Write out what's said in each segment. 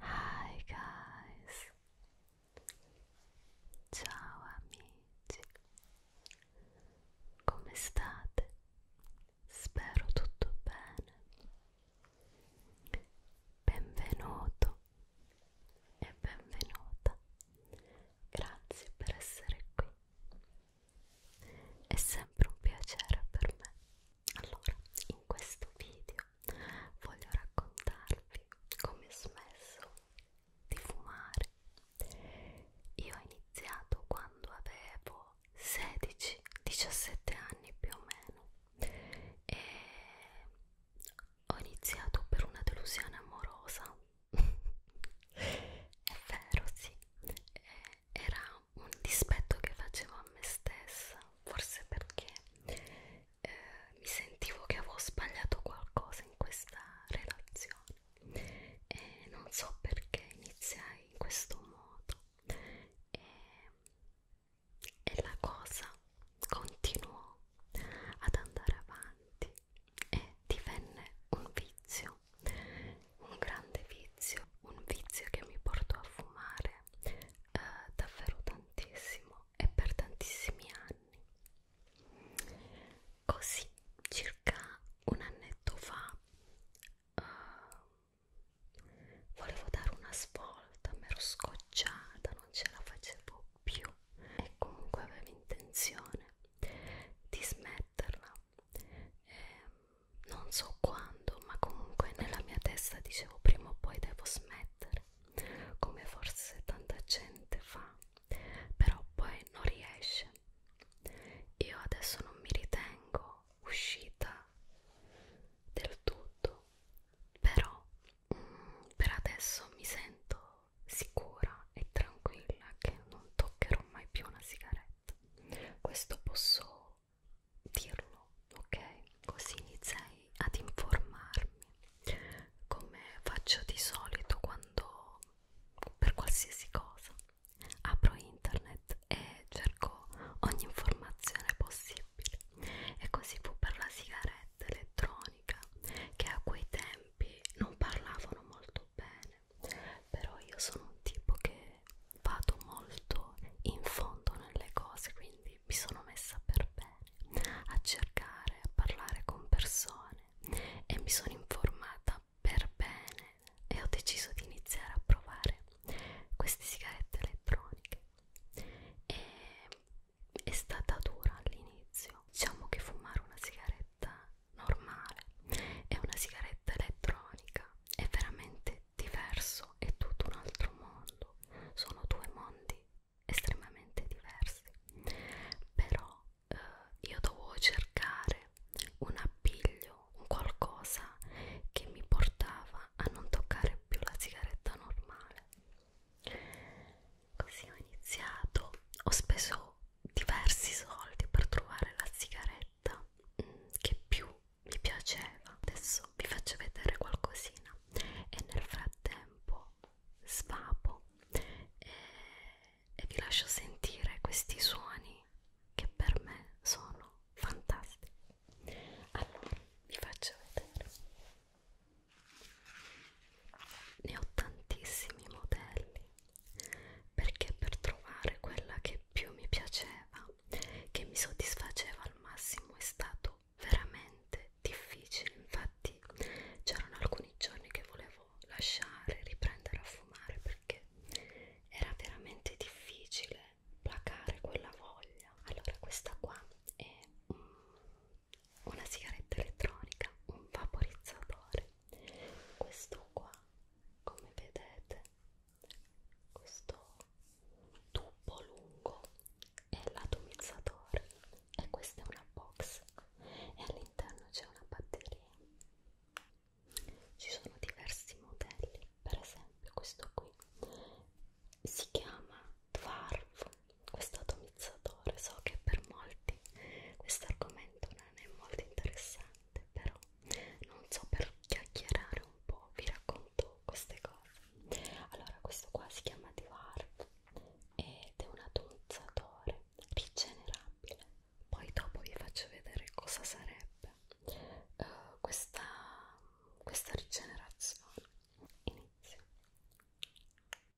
Hi guys. Ciao amici. Come state? Spero tutto bene. Benvenuto e benvenuta grazie per essere qui. È sempre un piacere per me. Allora, in questo video voglio raccontarvi come ho smesso di fumare. Io ho iniziato quando avevo 16-17 anni più o meno e ho iniziato per una delusione amorosa è vero sì e eh, era un dispetto che facevo a me stessa forse perché eh, mi sentivo che avevo sbagliato qualcosa in questa relazione e non so perché iniziai in questo modo e, e la cosa continuò ad andare avanti e divenne un vizio, un grande vizio, un vizio che mi portò a fumare eh, davvero tantissimo e per tantissimi anni. Così, circa un annetto fa, eh, volevo dare una svolta, mi ero scocciata, non ce la facevo più e comunque aveva intenzione di smetterla eh, non so quando ma comunque nella mia testa dicevo prima o poi devo smettere come forse tanta gente fa però poi non riesce io adesso non mi ritengo uscita del tutto però per adesso mi sento sicura e tranquilla che non toccherò mai più una sigaretta. Questo posso dirlo, ok? Così iniziai ad informarmi come faccio di solito quando per qualsiasi cosa apro internet e cerco ogni informazione possibile e così fu per la sigaretta sigaretta elettronica che a quei tempi non parlavano molto bene però io sono un tipo che vado molto in fondo nelle cose quindi mi sono messa per bene a cercare a parlare con persone e mi sono informata per bene e ho deciso di iniziare a provare queste sigarette elettroniche e è stata dura all'inizio diciamo che fumare una sigaretta normale e una sigaretta elettronica è veramente diverso è tutto un altro mondo sono due mondi estremamente diversi però eh, io dovevo cercare un appiglio un qualcosa che mi portava a non toccare più la sigaretta normale Così ho iniziato, ho speso diversi soldi per trovare la sigaretta mm, che più mi piaceva. Adesso vi faccio vedere qualcosina e nel frattempo svapo e, e vi lascio sentire questi suoni che per me sono fantastici. Allora, vi faccio vedere. Ne ho tantissimi modelli perché per trovare quella che più mi piaceva, che mi soddisfaceva al massimo, è stato veramente difficile. Infatti, c'erano alcuni giorni che volevo lasciare, riprendere a fumare perché era veramente difficile placare quella voglia. Allora, questa qua è un una sigaretta elettronica, un vaporizzatore. Questo qua, come vedete, questo tubo lungo è l'atomizzatore e questa è una box e all'interno c'è una batteria. Ci sono diversi modelli, per esempio questo qui si chiama Dwarf, questo atomizzatore, so che per molti questo argomento non è molto interessante, però non so per chiacchierare un po', vi racconto queste cose. Allora, questo qua si chiama Dwarf ed è un atomizzatore rigenerabile, poi dopo vi faccio vedere cosa sarebbe uh, questa, questa rigenerazione. Inizio.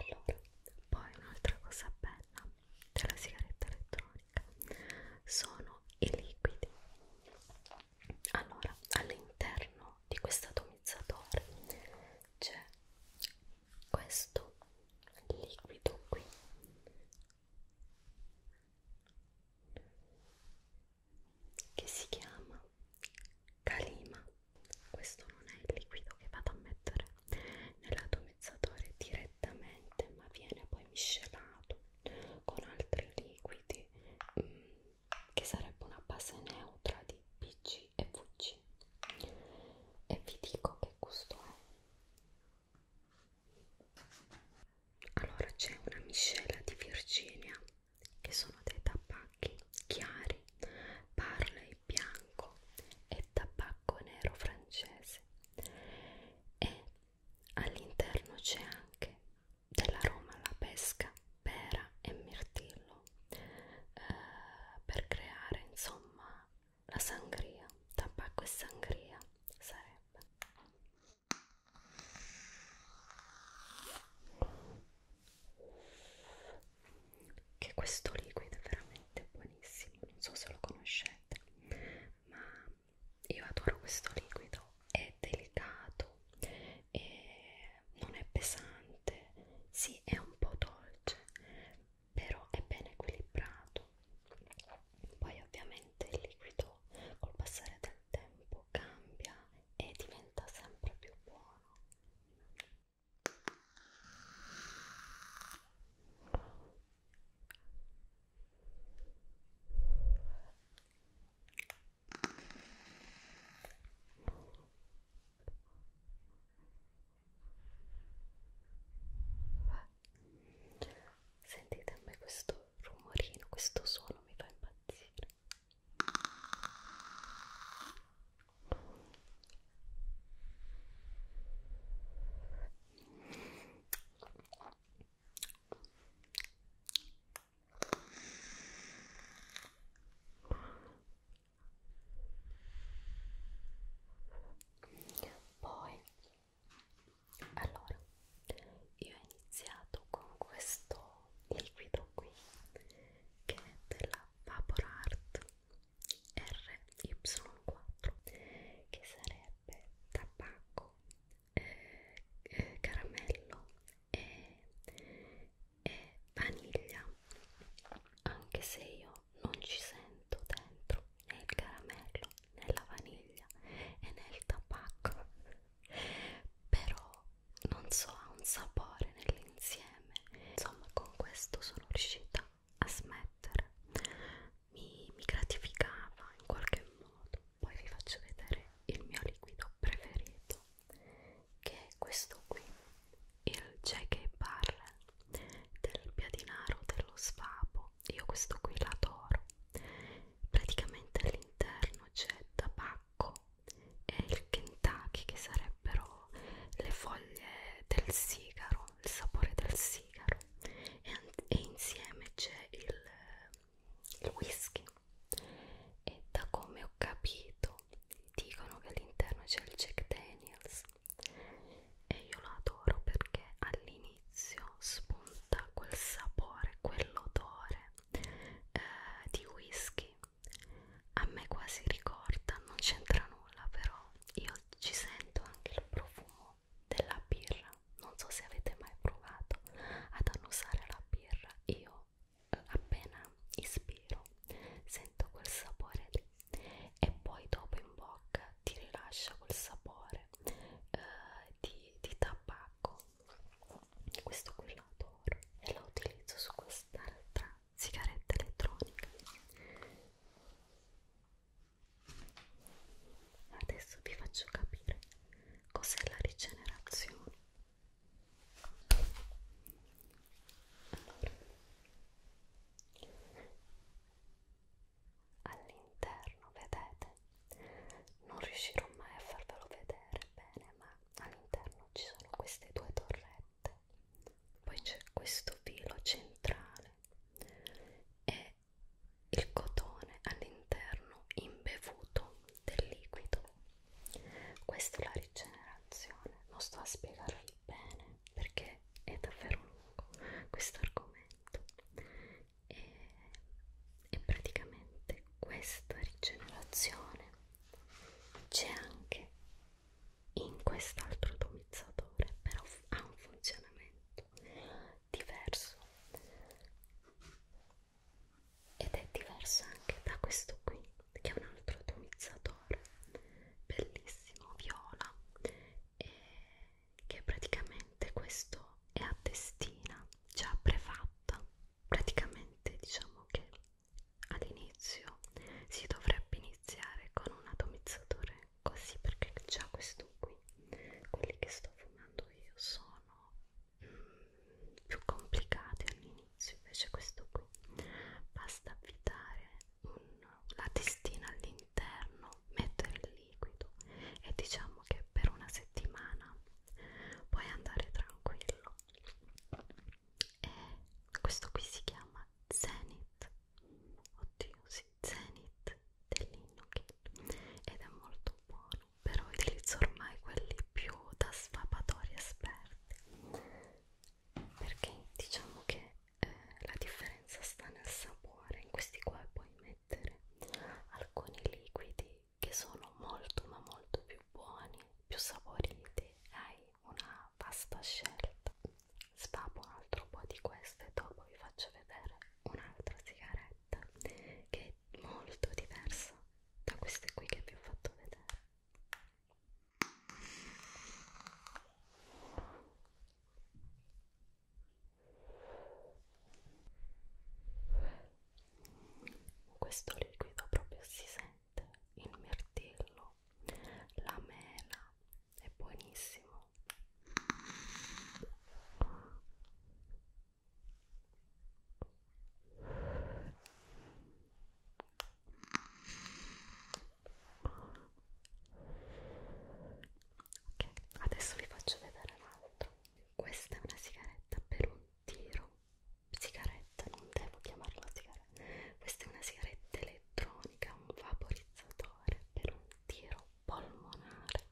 allora poi un'altra cosa bella della sigaretta elettronica sono i liquidi allora all'interno di questo atomizzatore c'è questo liquido qui che si chiama Kalima questo non è il liquido che vado a mettere nell'atomizzatore direttamente ma viene poi miscelato con altri liquidi mh, mm, che sarebbe una base neutra di PG e VG e vi dico che gusto è allora c'è una miscela di Virginia che sono dei tabacchi chiari, parla e bianco bianco e tabacco nero francese e all'interno c'è anche dell'aroma alla pesca, pera e mirtillo eh, per creare insomma la sangria, tabacco e sangria sarebbe che questo liquido è veramente buonissimo, non so se lo conoscete, ma io adoro questo liquido, è delicato, è... non è pesante, sì è un po' dolce, però è ben equilibrato. Poi ovviamente il liquido col passare del tempo cambia e diventa sempre più buono. Sentite a me questo rumorino, questo suono mi fa impazzire. Poi, allora, io ho iniziato con questo liquido qui che è della Vapor Art RY4 che sarebbe tabacco, eh, eh, caramello e, e vaniglia anche se io non ci sento dentro né il caramello né la vaniglia e né il tabacco però non so ha un sapore nell'insieme insieme insomma con questo sono riuscita a smettere mi, mi gratificava in qualche modo poi vi faccio vedere il mio liquido preferito che è questo qui il J.K. Barrel del piadinaro dello sfabo io questo qui l'adoro praticamente all'interno c'è tabacco e il Kentucky che sarebbero le foglie del sigaro, il sapore del sigaro e, e insieme c'è il, il whisky e da come ho capito dicono che all'interno c'è il Jack Daniels e io lo adoro perché all'inizio spunta quel sapore, quell'odore eh, di whisky a me quasi ricorda, non c'entra nulla però io ci sento anche il profumo della birra, non so se avete mai provato ad annusare la birra, io eh, appena ispiro sento quel sapore lì e poi dopo in bocca ti rilascia quel sapore eh, di, di tabacco questo qui lo adoro e lo utilizzo su quest'altra sigaretta elettronica adesso vi faccio capire cos'è la rigenerazione allora, all'interno vedete non riuscirò mai a farvelo vedere bene ma all'interno ci sono queste due torrette ricette poi c'è questo filo centrale e il cotone all'interno imbevuto del liquido questa è la rigenerazione non sto a spiegarvi bene perché è davvero lungo questo argomento e, e praticamente questa rigenerazione c'è anche in quest'altro atomizzatore però ha un funzionamento diverso ed è diverso anche da questo qui che è un altro atomizzatore bellissimo viola e che praticamente questo è a testina già prefatta praticamente diciamo che all'inizio si dovrebbe iniziare con un atomizzatore così perché già questo qui quelli che sto fumando io sono mm, più complicati all'inizio invece questo qui basta avvitare un, la testina all'interno mettere il liquido e diciamo che per una settimana puoi andare tranquillo e eh, questo qui si chiama Zenith oddio sì, Zenith dell'Innokin ed è molto buono però utilizzo ormai quelli più da svapatori esperti perché diciamo che eh, la differenza sta nel sapore in questi qua puoi mettere alcuni liquidi che sono molto ma molto più buoni più saporiti hai una vasta scelta. Svapo un altro po' di questo e dopo vi faccio vedere un'altra sigaretta che è molto diversa da queste qui che vi ho fatto vedere. Questo liquido proprio si sente mette il mirtillo, la mela, è buonissimo. Ok, adesso vi faccio vedere un altro. Questa è una sigaretta per un tiro sigaretta, non devo chiamarla sigaretta, questa è una sigaretta elettronica, un vaporizzatore per un tiro polmonare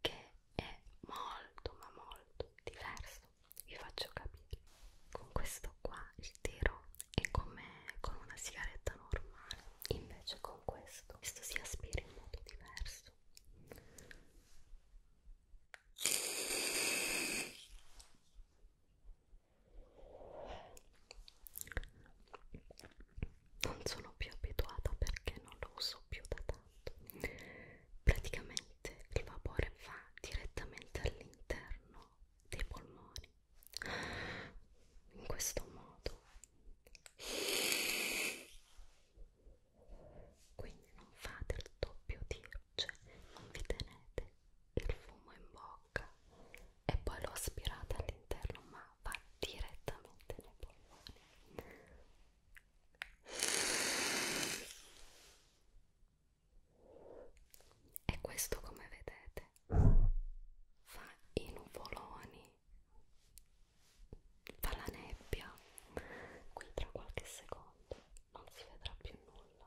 che è molto ma molto diverso, vi faccio capire. Con questo qua il tiro è come con una sigaretta normale, invece con questo, questo si aspira in modo diverso non sono più abituata perché non lo uso più da tanto praticamente il vapore va direttamente all'interno dei polmoni in questo modo quindi non fa del doppio tiro luce, cioè, vi tenete il fumo in bocca e poi lo aspirate all'interno, ma va direttamente nei polmoni. E questo, come vedete, fa i nuvoloni, fa la nebbia. Qui tra qualche secondo non si vedrà più nulla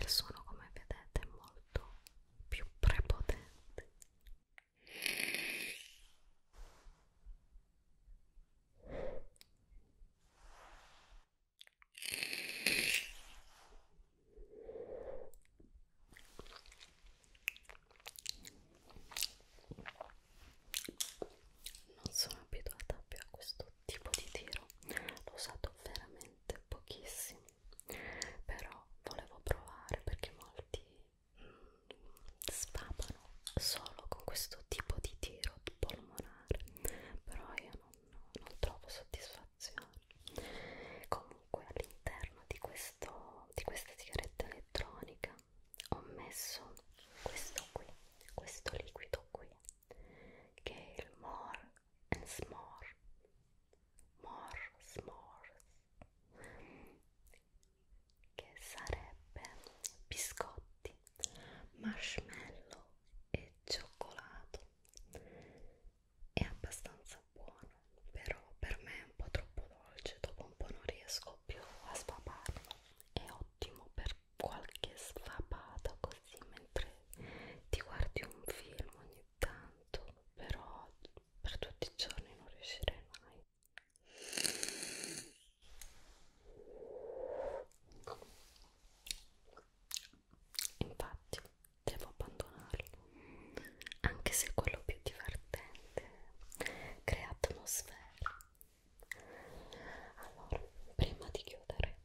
il suono come vedete è molto più prepotente non sono abituata più a questo tipo di tiro l'ho usato veramente pochissimo però volevo provare perché molti mm, spapano solo con questo tipo di tiro polmonare però io non, non trovo soddisfazione comunque all'interno di, di questa sigaretta elettronica ho messo questo qui questo liquido qui che è il More and s'more. More s'mores. Che sarebbe biscotti, marshmallow e cioccolato. È abbastanza buono, però per me è un po' troppo dolce, dopo un po' non riesco più a sfaparlo. È ottimo per qualche sfapata così mentre ti guardi un film ogni tanto però per tutti i giorni non riuscirei mai infatti devo abbandonarlo anche se è quello più divertente crea atmosfera allora prima di chiudere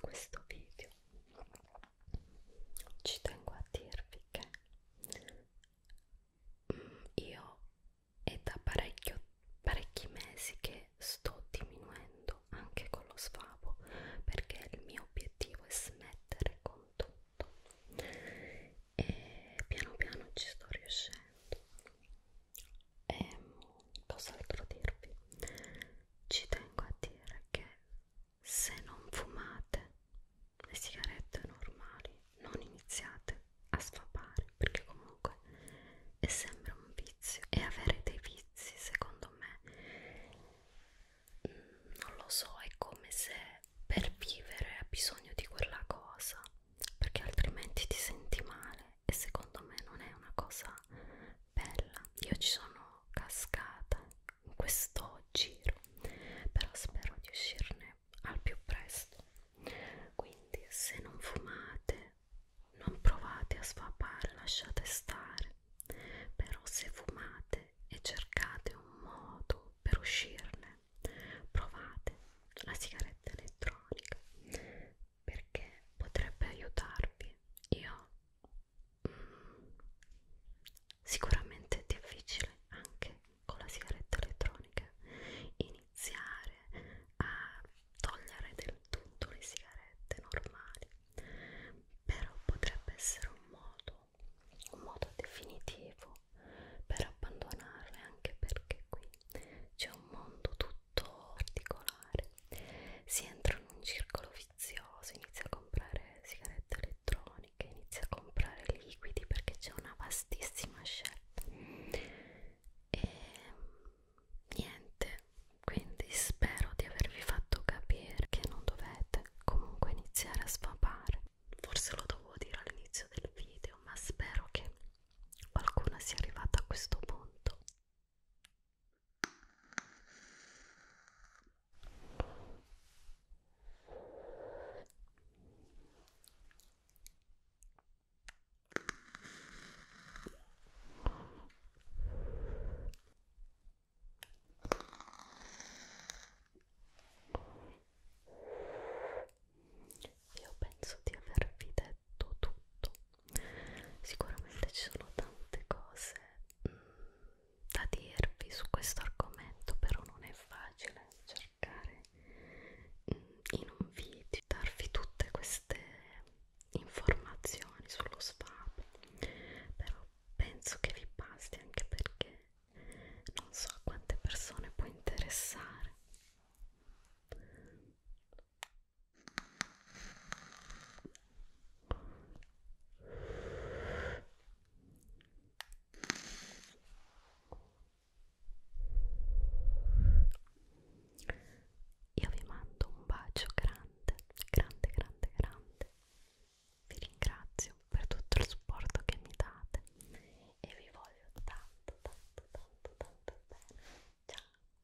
questo video ci tengo a dirvi che mm, io è da parecchio, parecchi mesi che sto diminuendo anche con lo sfavo perché il mio obiettivo è smettere con tutto e piano piano ci sto riuscendo e ehm, cos'altro dirvi ci tengo a dire che se non fumate le sigarette normali non iniziate a sfapare perché comunque è sempre un vizio e avere dei vizi secondo me mm, non lo so è come se per vivere ha bisogno di quella cosa perché altrimenti ti senti male e secondo me non è una cosa bella io ci sono cascata in questo giro però spero di uscirne al più presto quindi se non fumate non provate a svapare lasciate stare però se fumate e cercate un modo per uscirne provate la sigaretta elettronica perché potrebbe aiutarvi io sicuramente è difficile anche con la sigaretta elettronica iniziare a togliere del tutto le sigarette normali però potrebbe essere un modo un modo definitivo per abbandonarle anche perché qui c'è un mondo tutto tutto particolare. Si entra in un circolo vizioso, inizia a comprare sigarette elettroniche, inizia a comprare liquidi perché c'è una vastissima scelta. E niente, quindi spero di avervi fatto capire che non dovete comunque iniziare a sfamare. Forse lo dovevo dire all'inizio del video, ma spero che qualcuno sia arrivata a questo punto. Io penso di aver finito detto tutto sicuramente ci sono tante cose mh, mm, da dirvi su questo argomento però non è facile cercare mh, mm, in un video darvi tutte queste informazioni sullo sfab però penso che vi basti anche perché non so a quante persone può interessare io vi mando un bacio grande, grande, grande, grande. Vi ringrazio per tutto il supporto che mi date e vi voglio tanto, tanto, tanto, tanto bene. Ciao.